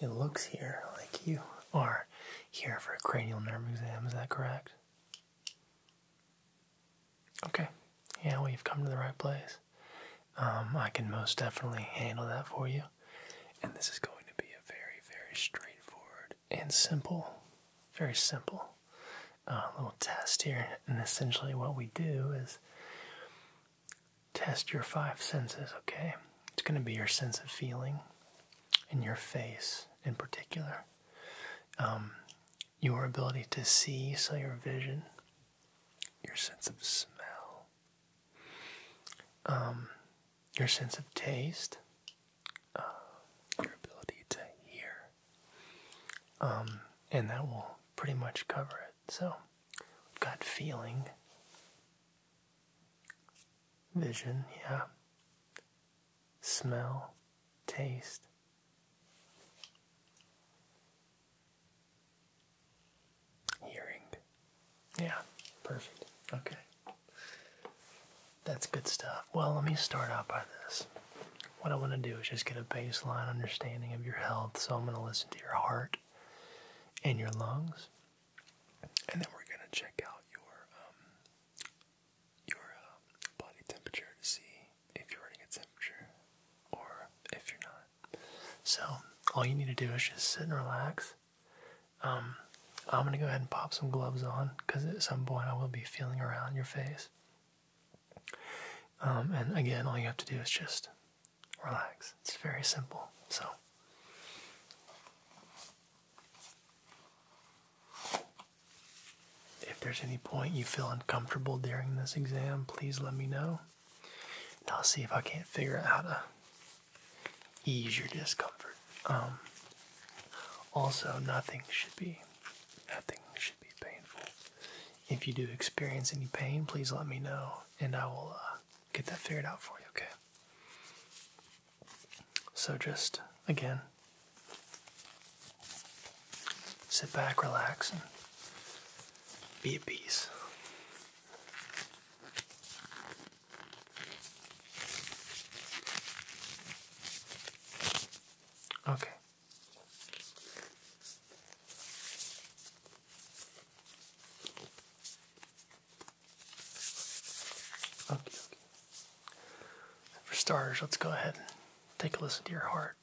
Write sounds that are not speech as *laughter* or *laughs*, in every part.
It looks here like you are here for a cranial nerve exam, is that correct? Okay, yeah, well, you've come to the right place. Um, I can most definitely handle that for you. And this is going to be a very, very straightforward and simple, very simple uh, little test here. And essentially, what we do is test your five senses, okay? It's going to be your sense of feeling and your face in particular. Um, your ability to see, so your vision, your sense of smell, um, your sense of taste, uh, your ability to hear. Um, and that will pretty much cover it. So, we've got feeling, Vision, yeah. Smell, taste. Hearing. Yeah, perfect. Okay. That's good stuff. Well, let me start out by this. What I want to do is just get a baseline understanding of your health. So I'm going to listen to your heart and your lungs and then we're gonna check out your um, your um, body temperature to see if you're running a temperature or if you're not. So all you need to do is just sit and relax. Um, I'm gonna go ahead and pop some gloves on because at some point I will be feeling around your face. and again, all you have to do is just relax. It's very simple. So if there's any point you feel uncomfortable during this exam, please let me know. And I'll see if I can't figure out how to ease your discomfort. Um, also, nothing should be nothing should be painful. If you do experience any pain, please let me know, and I will uh, get that figured out for you, okay? So just, again, sit back, relax, and be at peace. Okay. Okay, For starters, let's go ahead and take a listen to your heart.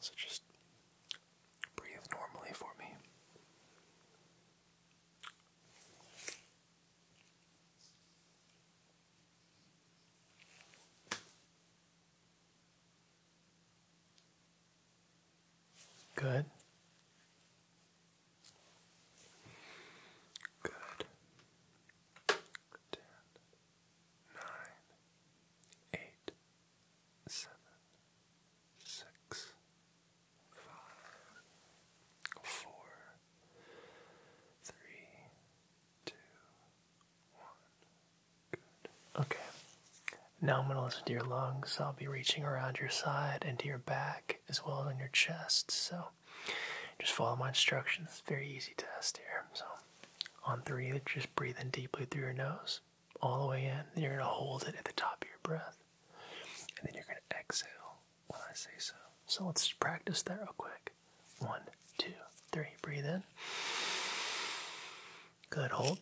So just breathe normally for me. Good. Good. Ten, nine, eight, seven, six, five, four, three, two, Okay. Now I'm going to listen to your lungs. I'll be reaching around your side and to your back as well as on your chest. So just follow my instructions. very easy test here. So on three, just breathing deeply through your nose, all the way in. You're going to hold it at the top of your breath. And then you're going to exhale when I say so. So let's practice that real quick. One, two, three. Breathe in. Good. Hold.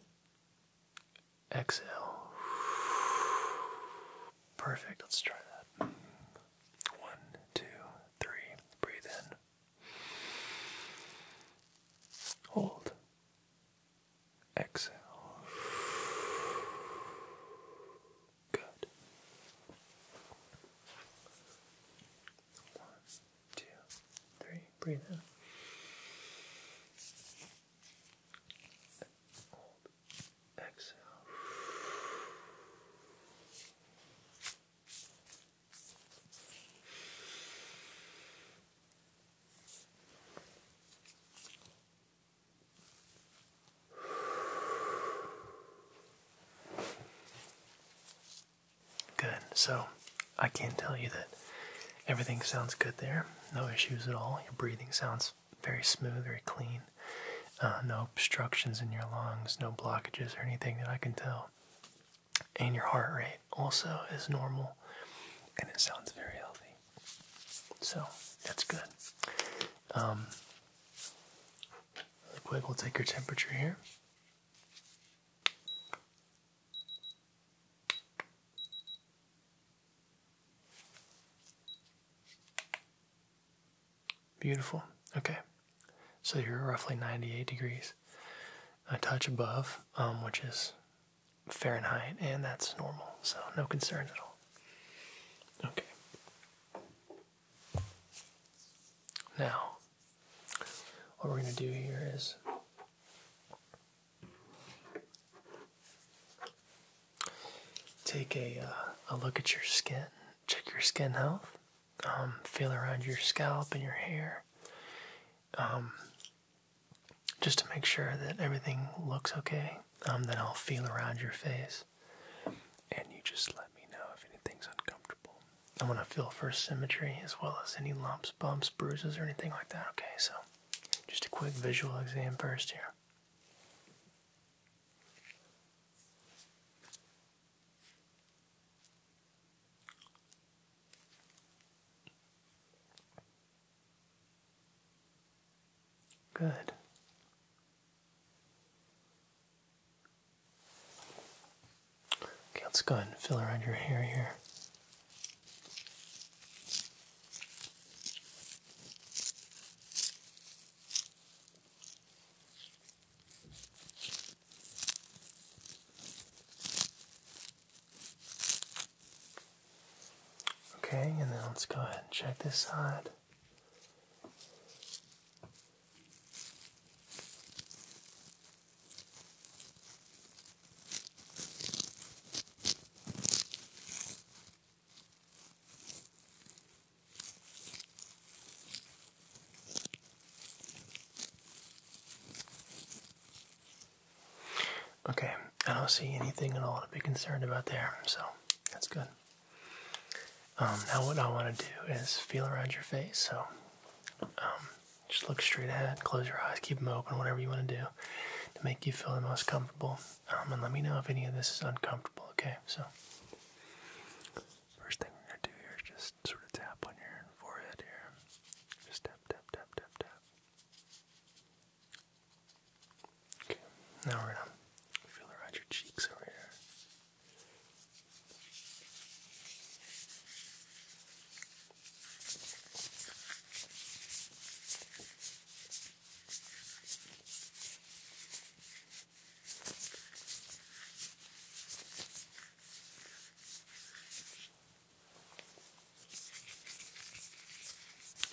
Exhale. Perfect. Let's try that. One, two, three. Breathe in. Hold. Exhale. Good. One, two, three. Breathe in. Hold. Exhale. Good. So I can tell you that everything sounds good there. No issues at all. Your breathing sounds very smooth, very clean. Uh, no obstructions in your lungs, no blockages or anything that I can tell. And your heart rate also is normal and it sounds very healthy. So that's good. Um, Really quick, we'll take your temperature here. Beautiful. Okay. So you're roughly 98 degrees, a touch above, um, which is Fahrenheit, and that's normal. So no concerns at all. Okay. Now, what we're going to do here is take a, uh, a look at your skin, check your skin health, um, feel around your scalp and your hair, um, just to make sure that everything looks okay. Um, then I'll feel around your face. And you just let me know if anything's uncomfortable. I want to feel for symmetry as well as any lumps, bumps, bruises, or anything like that. Okay, so just a quick visual exam first here. Good. Okay, let's go ahead and fill around your hair here. Okay, and then let's go ahead and check this side. Okay, I don't see anything at all to be concerned about there, so that's good. Um, now what I want to do is feel around your face. So um, just look straight ahead, close your eyes, keep them open, whatever you want to do to make you feel the most comfortable. Um, and let me know if any of this is uncomfortable. Okay, so first thing we're gonna do here is just sort of tap on your forehead here. Just tap, tap, tap, tap, tap. Okay, now we're gonna feel around your cheeks over here.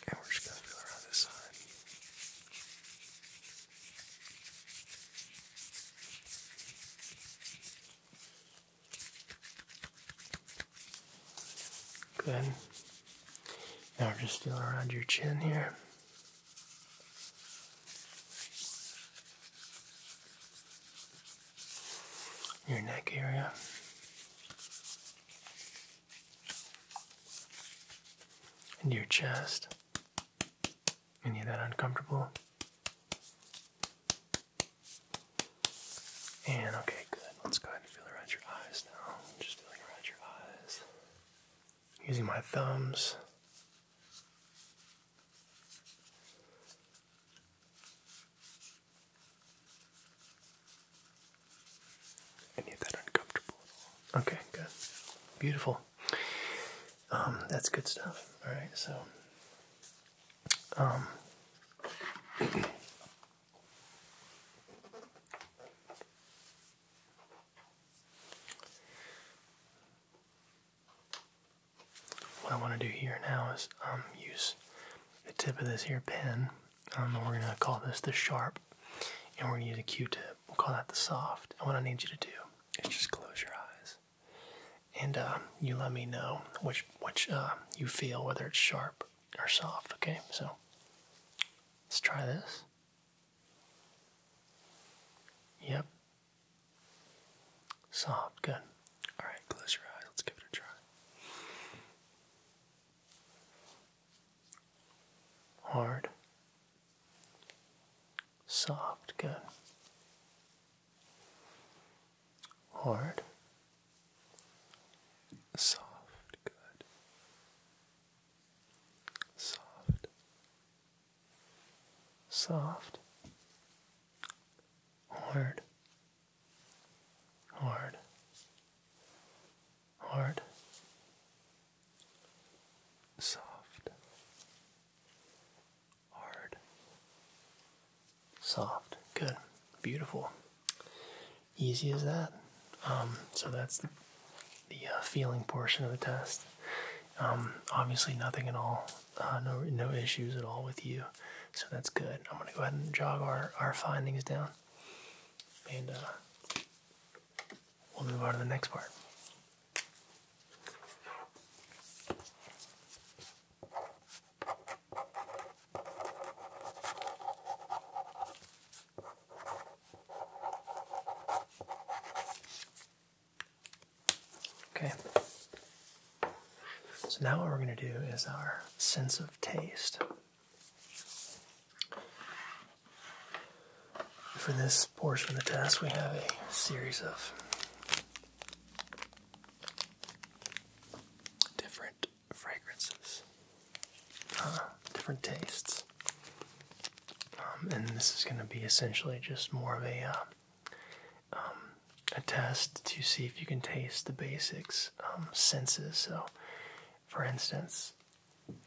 And we're just going to feel around this side. Good. Now just feeling around your chin here. Your neck area. And your chest. Any of that uncomfortable? And okay, good. Let's go ahead and feel around your eyes now. Just feeling around your eyes. Using my thumbs. Any of that uncomfortable? Okay, good. Beautiful. Um, that's good stuff. All right. So um, what I want to do here now is um, use the tip of this here pen. we're going to call this the sharp, and we're going to use a Q-tip. We'll call that the soft. And what I need you to do just close your eyes, and um, you let me know which which uh, you feel whether it's sharp or soft. Okay, so let's try this. Yep. Soft, good. Alright, close your eyes. Let's give it a try. Hard soft, good. Hard, soft, good. Soft, soft, hard, hard, hard, soft, hard, soft. Good, beautiful. Easy as that. Um, so that's the, uh, feeling portion of the test. Um, obviously, nothing at all, uh, no no issues at all with you. So that's good. I'm gonna go ahead and jog our our findings down, and uh, we'll move on to the next part. Okay. So now what we're going to do is our sense of taste. For this portion of the test, we have a series of different fragrances, uh, different tastes. Um, and this is going to be essentially just more of a uh, um, a test to see if you can taste the basics um, senses. So, for instance,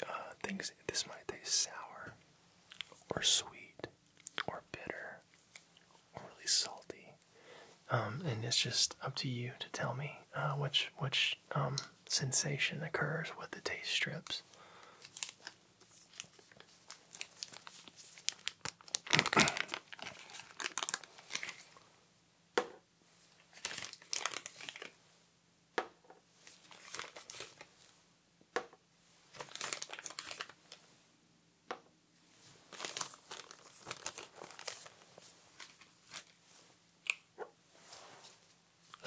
uh, things this might taste sour or sweet or bitter or really salty. Um, and it's just up to you to tell me uh, which which um, sensation occurs with the taste strips.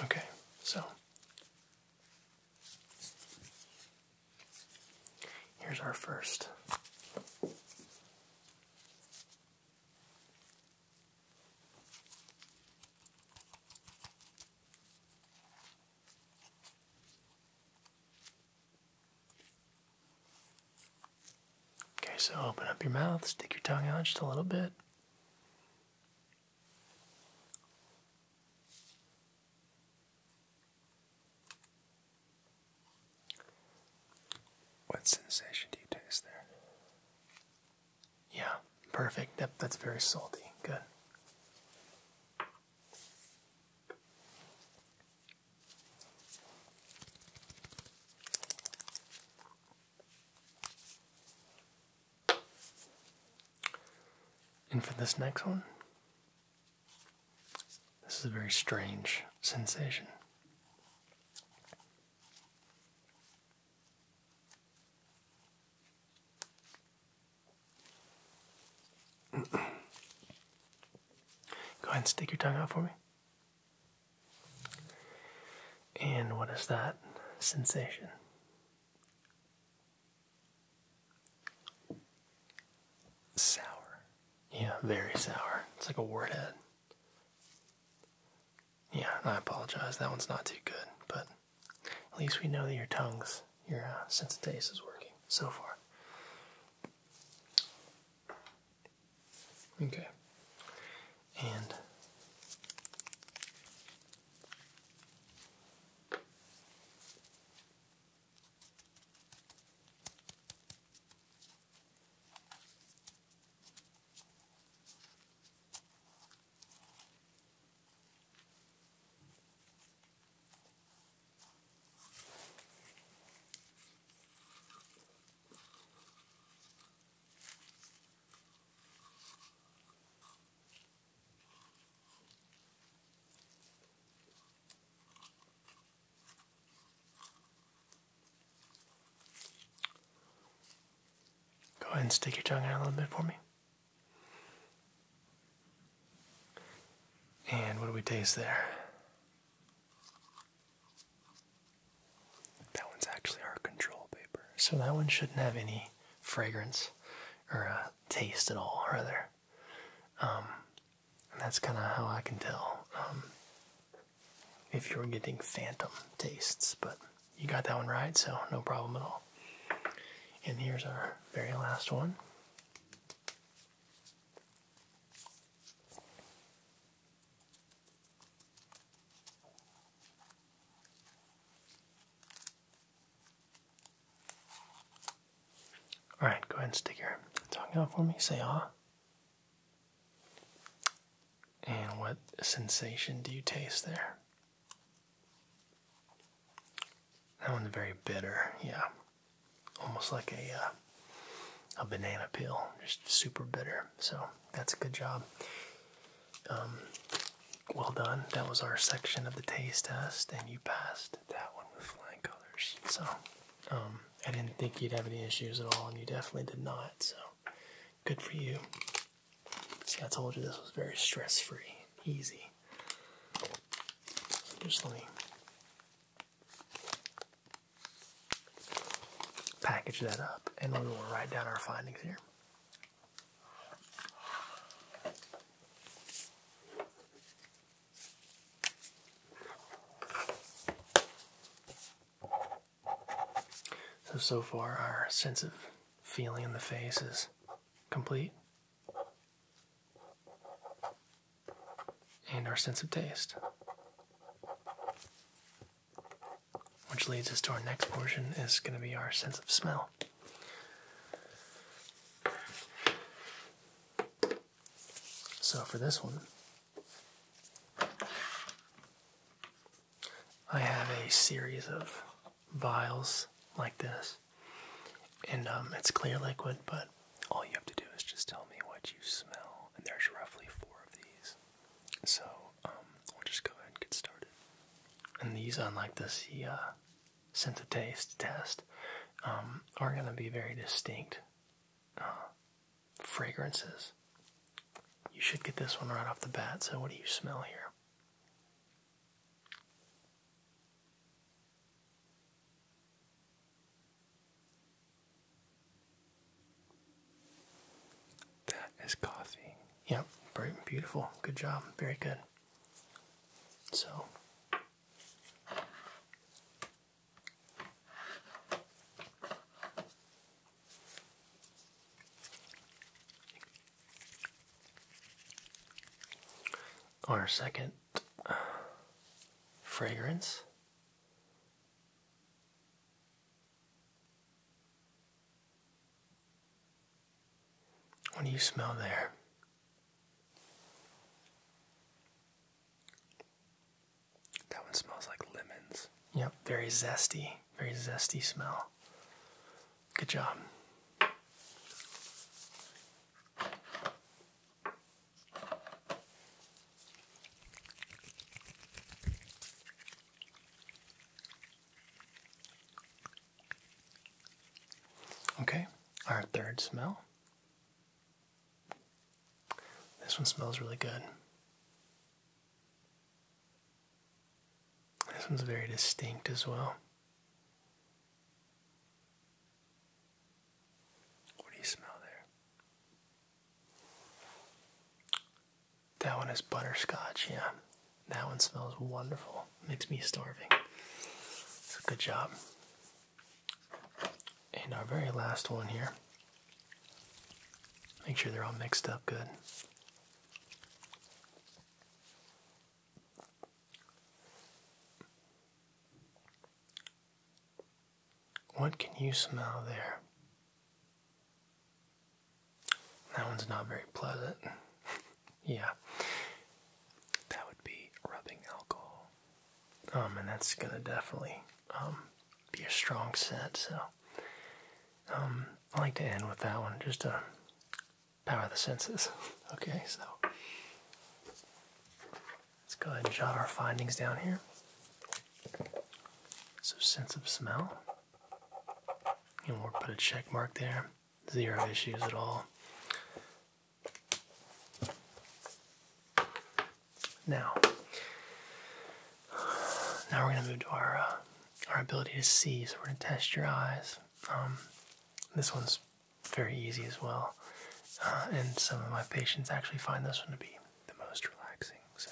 Okay, so here's our first. Okay, so open up your mouth, stick your tongue out just a little bit. What sensation do you taste there? Yeah, perfect. Yep. that's very salty. Good. And for this next one, this is a very strange sensation. Go ahead and stick your tongue out for me. And what is that sensation? Sour. Yeah, very sour. It's like a word head. Yeah, I apologize. That one's not too good, but at least we know that your tongues, your uh, sense of taste is working so far. Okay. And Go ahead and stick your tongue out a little bit for me. And what do we taste there? That one's actually our control paper. So that one shouldn't have any fragrance or uh, taste at all, rather. Um, and that's kind of how I can tell um, if you're getting phantom tastes, but you got that one right, so no problem at all. And here's our very last one. All right, go ahead and stick your tongue out for me. Say ah. And what sensation do you taste there? That one's very bitter, yeah. Almost like a uh, a banana peel, just super bitter. So that's a good job. Um, well done. That was our section of the taste test, and you passed that one with flying colors. So um, I didn't think you'd have any issues at all, and you definitely did not. So good for you. See, I told you this was very stress free, easy. just let me package that up and we will write down our findings here. So, so far, our sense of feeling in the face is complete. And our sense of taste. Which leads us to our next portion is going to be our sense of smell. So for this one, I have a series of vials like this, and um, it's clear liquid. But all you have to do is just tell me what you smell, and there's roughly four of these. So um, we'll just go ahead and get started. And these, unlike the uh, sense of taste test, um, are going to be very distinct uh, fragrances. You should get this one right off the bat. So what do you smell here? That is coffee. Yep, very beautiful. Good job. Very good. So, our second uh, fragrance what do you smell there? That one smells like lemons. Yep, very zesty very zesty smell. Good job. Okay, our third smell. This one smells really good. This one's very distinct as well. What do you smell there? That one is butterscotch, yeah. That one smells wonderful. Makes me starving. good job. And our very last one here. Make sure they're all mixed up good. What can you smell there? That one's not very pleasant. *laughs* yeah. That would be rubbing alcohol. Um, and that's gonna definitely um be a strong scent, so um I like to end with that one. Just to power of the senses. *laughs* okay, so let's go ahead and jot our findings down here. So, sense of smell, and we'll put a check mark there, zero issues at all. Now, now we're going to move to our uh, our ability to see. So we're going to test your eyes. Um, this one's very easy as well, uh, and some of my patients actually find this one to be the most relaxing. So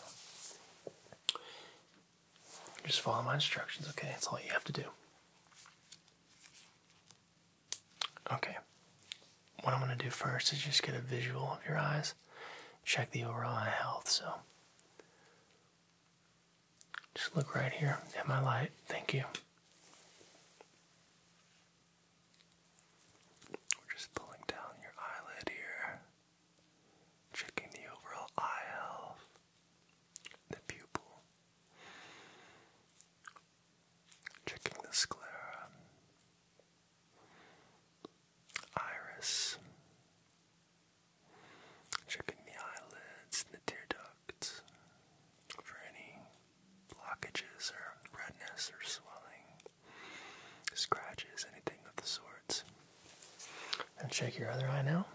just follow my instructions, okay? That's all you have to do. Okay, what I'm going to do first is just get a visual of your eyes, check the overall eye health. So just look right here at my light. Thank you. We're just pulling down your eyelid here, checking the overall eye health, the pupil, checking the sclera, iris, Checking the eyelids and the tear ducts for any blockages or redness or swelling, scratches, anything of the sorts. And check your other eye now.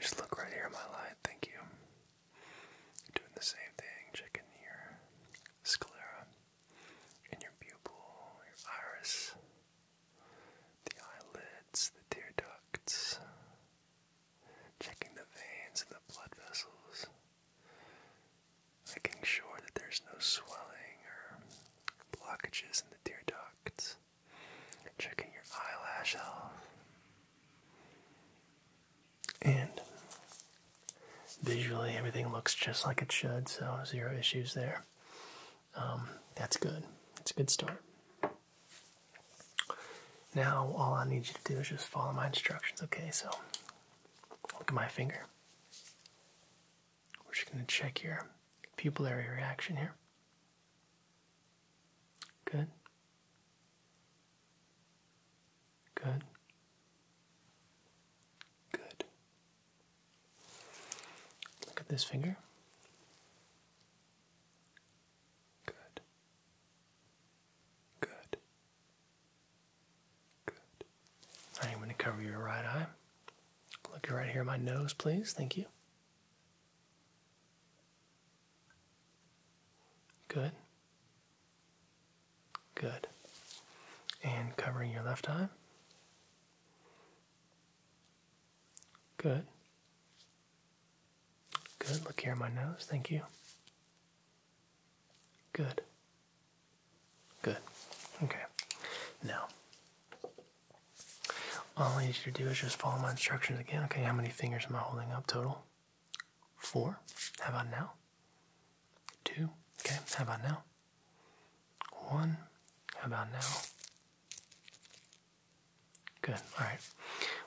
Just look right here my light, thank you. Doing the same thing, checking your sclera in your pupil, your iris, the eyelids, the tear ducts, checking the veins and the blood vessels, making sure that there's no swelling or blockages in the tear ducts, checking your eyelash health. And visually everything looks just like it should, so zero issues there. Um, that's good. It's a good start. Now, all I need you to do is just follow my instructions, okay? So, look at my finger. We're just going to check your pupillary reaction here. Good. Good. Good. Look at this finger. Good. Good. Good. I'm going to cover your right eye. Look right here my nose, please. Thank you. Good. Good. And covering your left eye. Good. Good. Look here at my nose. Thank you. Good. Good. Okay. Now, all I need you to do is just follow my instructions again. Okay, how many fingers am I holding up total? Four. How about now? Two. Okay, how about now? One. How about now? Good. All right.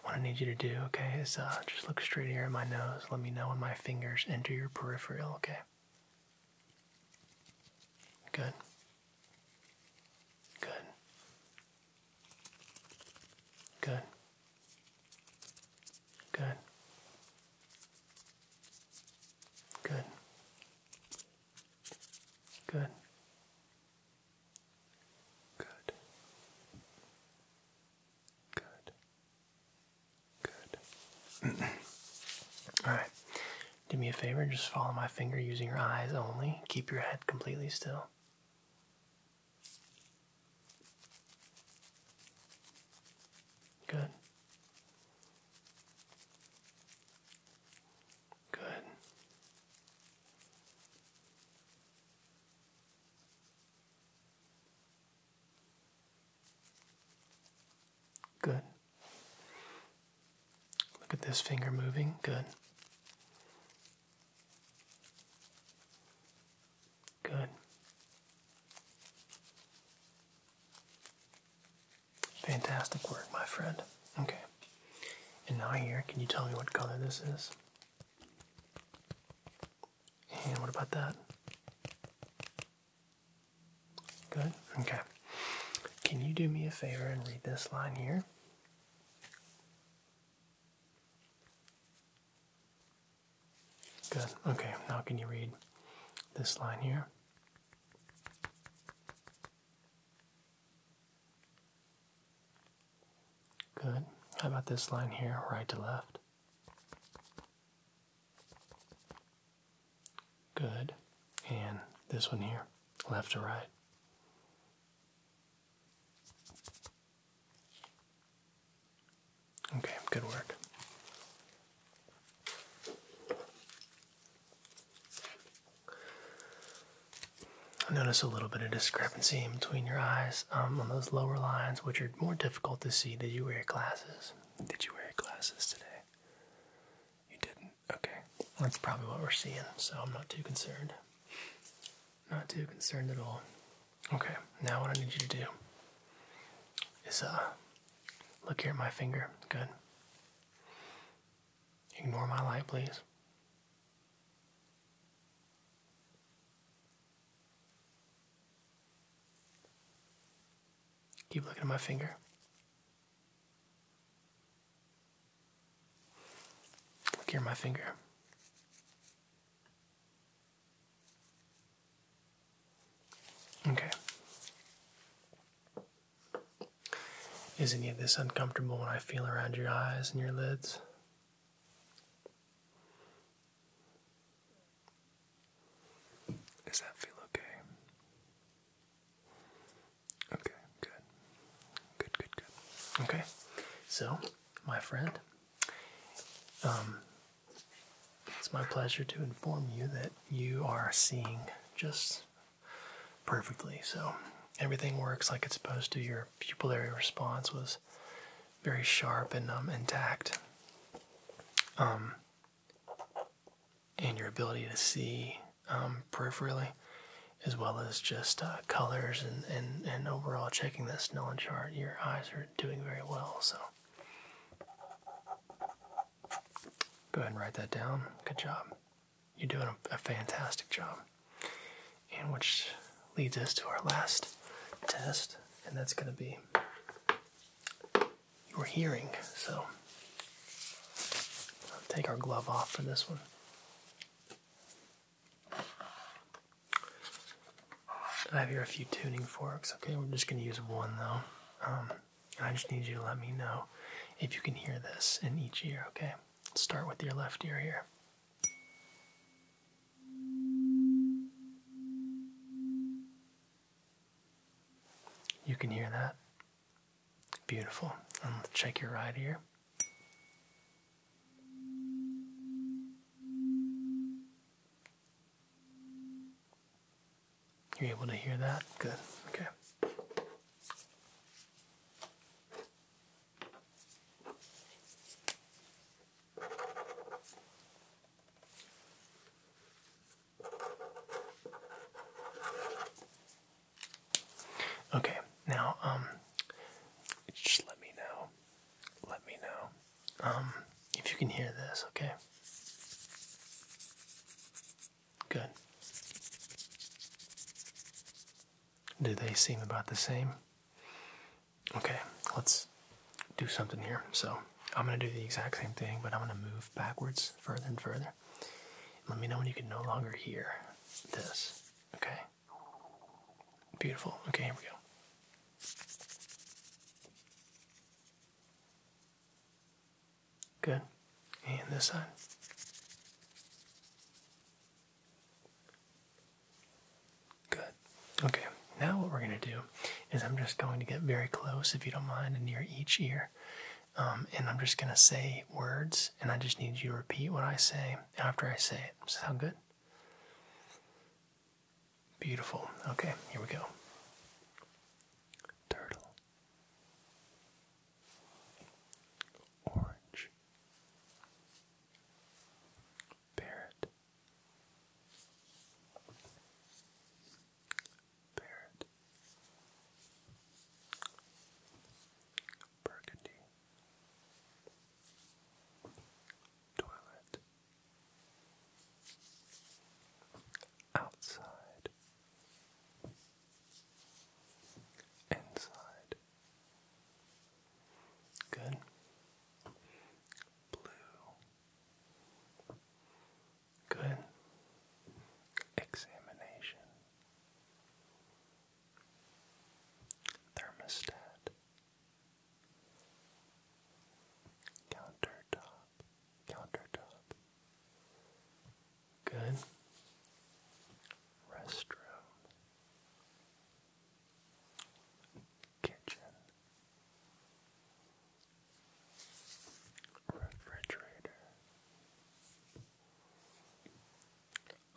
What I need you to do, okay, is uh, just look straight here at my nose. Let me know when my fingers enter your peripheral, okay? Good. Good. Good. Good. Good. Good. Good. Good. Good. *clears throat* All right. Do me a favor, just follow my finger using your eyes only. Keep your head completely still. Good. Good. Good. Look at this finger moving. Good. Good. Fantastic work, my friend. Okay. And now here, can you tell me what color this is? And what about that? Good. Okay. Can you do me a favor and read this line here? Good. Okay, now can you read this line here? Good. How about this line here, right to left? Good. And this one here, left to right. Okay, good work. I notice a little bit of discrepancy in between your eyes um, on those lower lines, which are more difficult to see. Did you wear glasses? Did you wear glasses today? You didn't. Okay, that's probably what we're seeing, so I'm not too concerned. Not too concerned at all. Okay, now what I need you to do is uh Look here at my finger. Good. Ignore my light, please. Keep looking at my finger. Look here at my finger. Okay. Is any of this uncomfortable when I feel around your eyes and your lids? Does that feel okay? Okay, good. Good, good, good. Okay, so, my friend, um, it's my pleasure to inform you that you are seeing just perfectly. So everything works like it's supposed to. Your pupillary response was very sharp and um, intact. Um, and your ability to see um, peripherally, as well as just uh, colors and, and, and overall checking that Snellen chart, your eyes are doing very well. So. Go ahead and write that down. Good job. You're doing a, fantastic job. And which leads us to our last test, and that's going to be your hearing. So take our glove off for this one. I have here a few tuning forks. Okay, we're just going to use one though. Um, I just need you to let me know if you can hear this in each ear. Okay, start with your left ear here. You can hear that. Beautiful. let's check your right ear. You're able to hear that? Good. Okay. Okay. Now, um, just let me know. Let me know um, if you can hear this, okay? Good. Do they seem about the same? Okay, let's do something here. So I'm going to do the exact same thing, but I'm going to move backwards further and further. Let me know when you can no longer hear this. Okay? Beautiful. Okay, here we go. Good. And this side. Good. Okay, now what we're going to do is I'm just going to get very close, if you don't mind, and near each ear. Um, and I'm just going to say words, and I just need you to repeat what I say after I say it. Sound good? Beautiful. Okay, here we go. Turtle. Orange. Parrot. Parrot. Burgundy. Toilet outside, inside. Good. Blue. Good. Examination. Thermostat. Countertop, countertop. Good. Restroom, kitchen, refrigerator,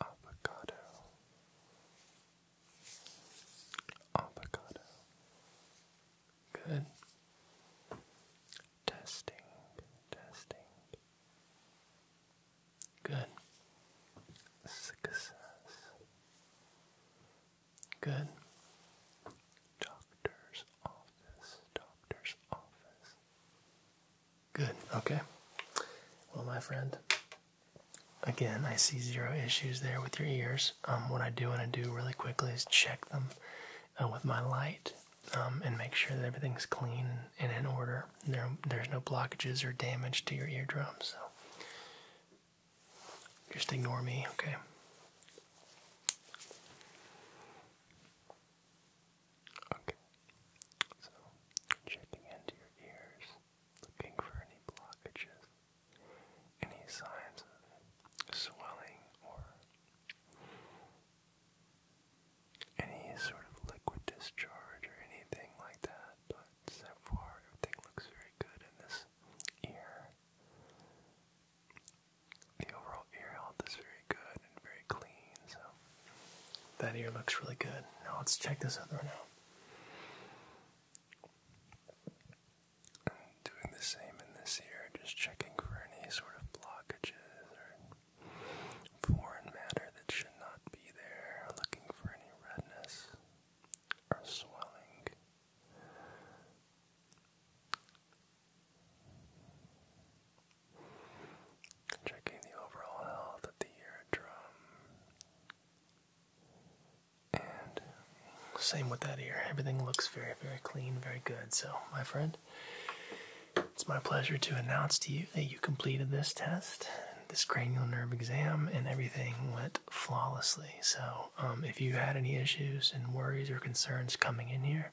avocado, avocado. Good. Testing, testing. Good. Success. Good. Doctor's office, doctor's office. Good, okay. Well, my friend, again, I see zero issues there with your ears. Um, what I do want to do really quickly is check them uh, with my light um, and make sure that everything's clean and in order. There, there's no blockages or damage to your eardrums. So just ignore me, okay? Okay. So checking into your ears, looking for any blockages any signs of swelling or any sort of liquid discharge or anything like that, but so far everything looks very good in this ear. The overall ear health is very good and very clean, so that ear looks really good. Now let's check this other one out. I'm doing the same in this ear, just checking for any sort of blockages or foreign matter that should not be there, looking for any redness or swelling. Checking the overall health of the eardrum, and same with that ear. Everything looks very, very clean, very good. So, my friend, it's my pleasure to announce to you that you completed this test, this cranial nerve exam, and everything went flawlessly. So, um, if you had any issues and worries or concerns coming in here,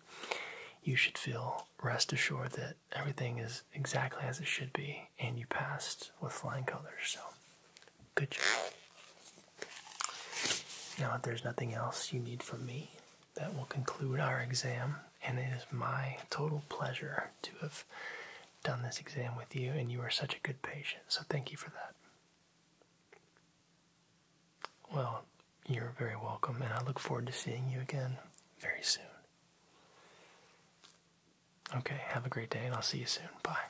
you should feel rest assured that everything is exactly as it should be and you passed with flying colors. So, Good job. Now, if there's nothing else you need from me, that will conclude our exam, and it is my total pleasure to have done this exam with you, and you are such a good patient, so thank you for that. Well, you're very welcome, and I look forward to seeing you again very soon. Okay, have a great day, and I'll see you soon. Bye.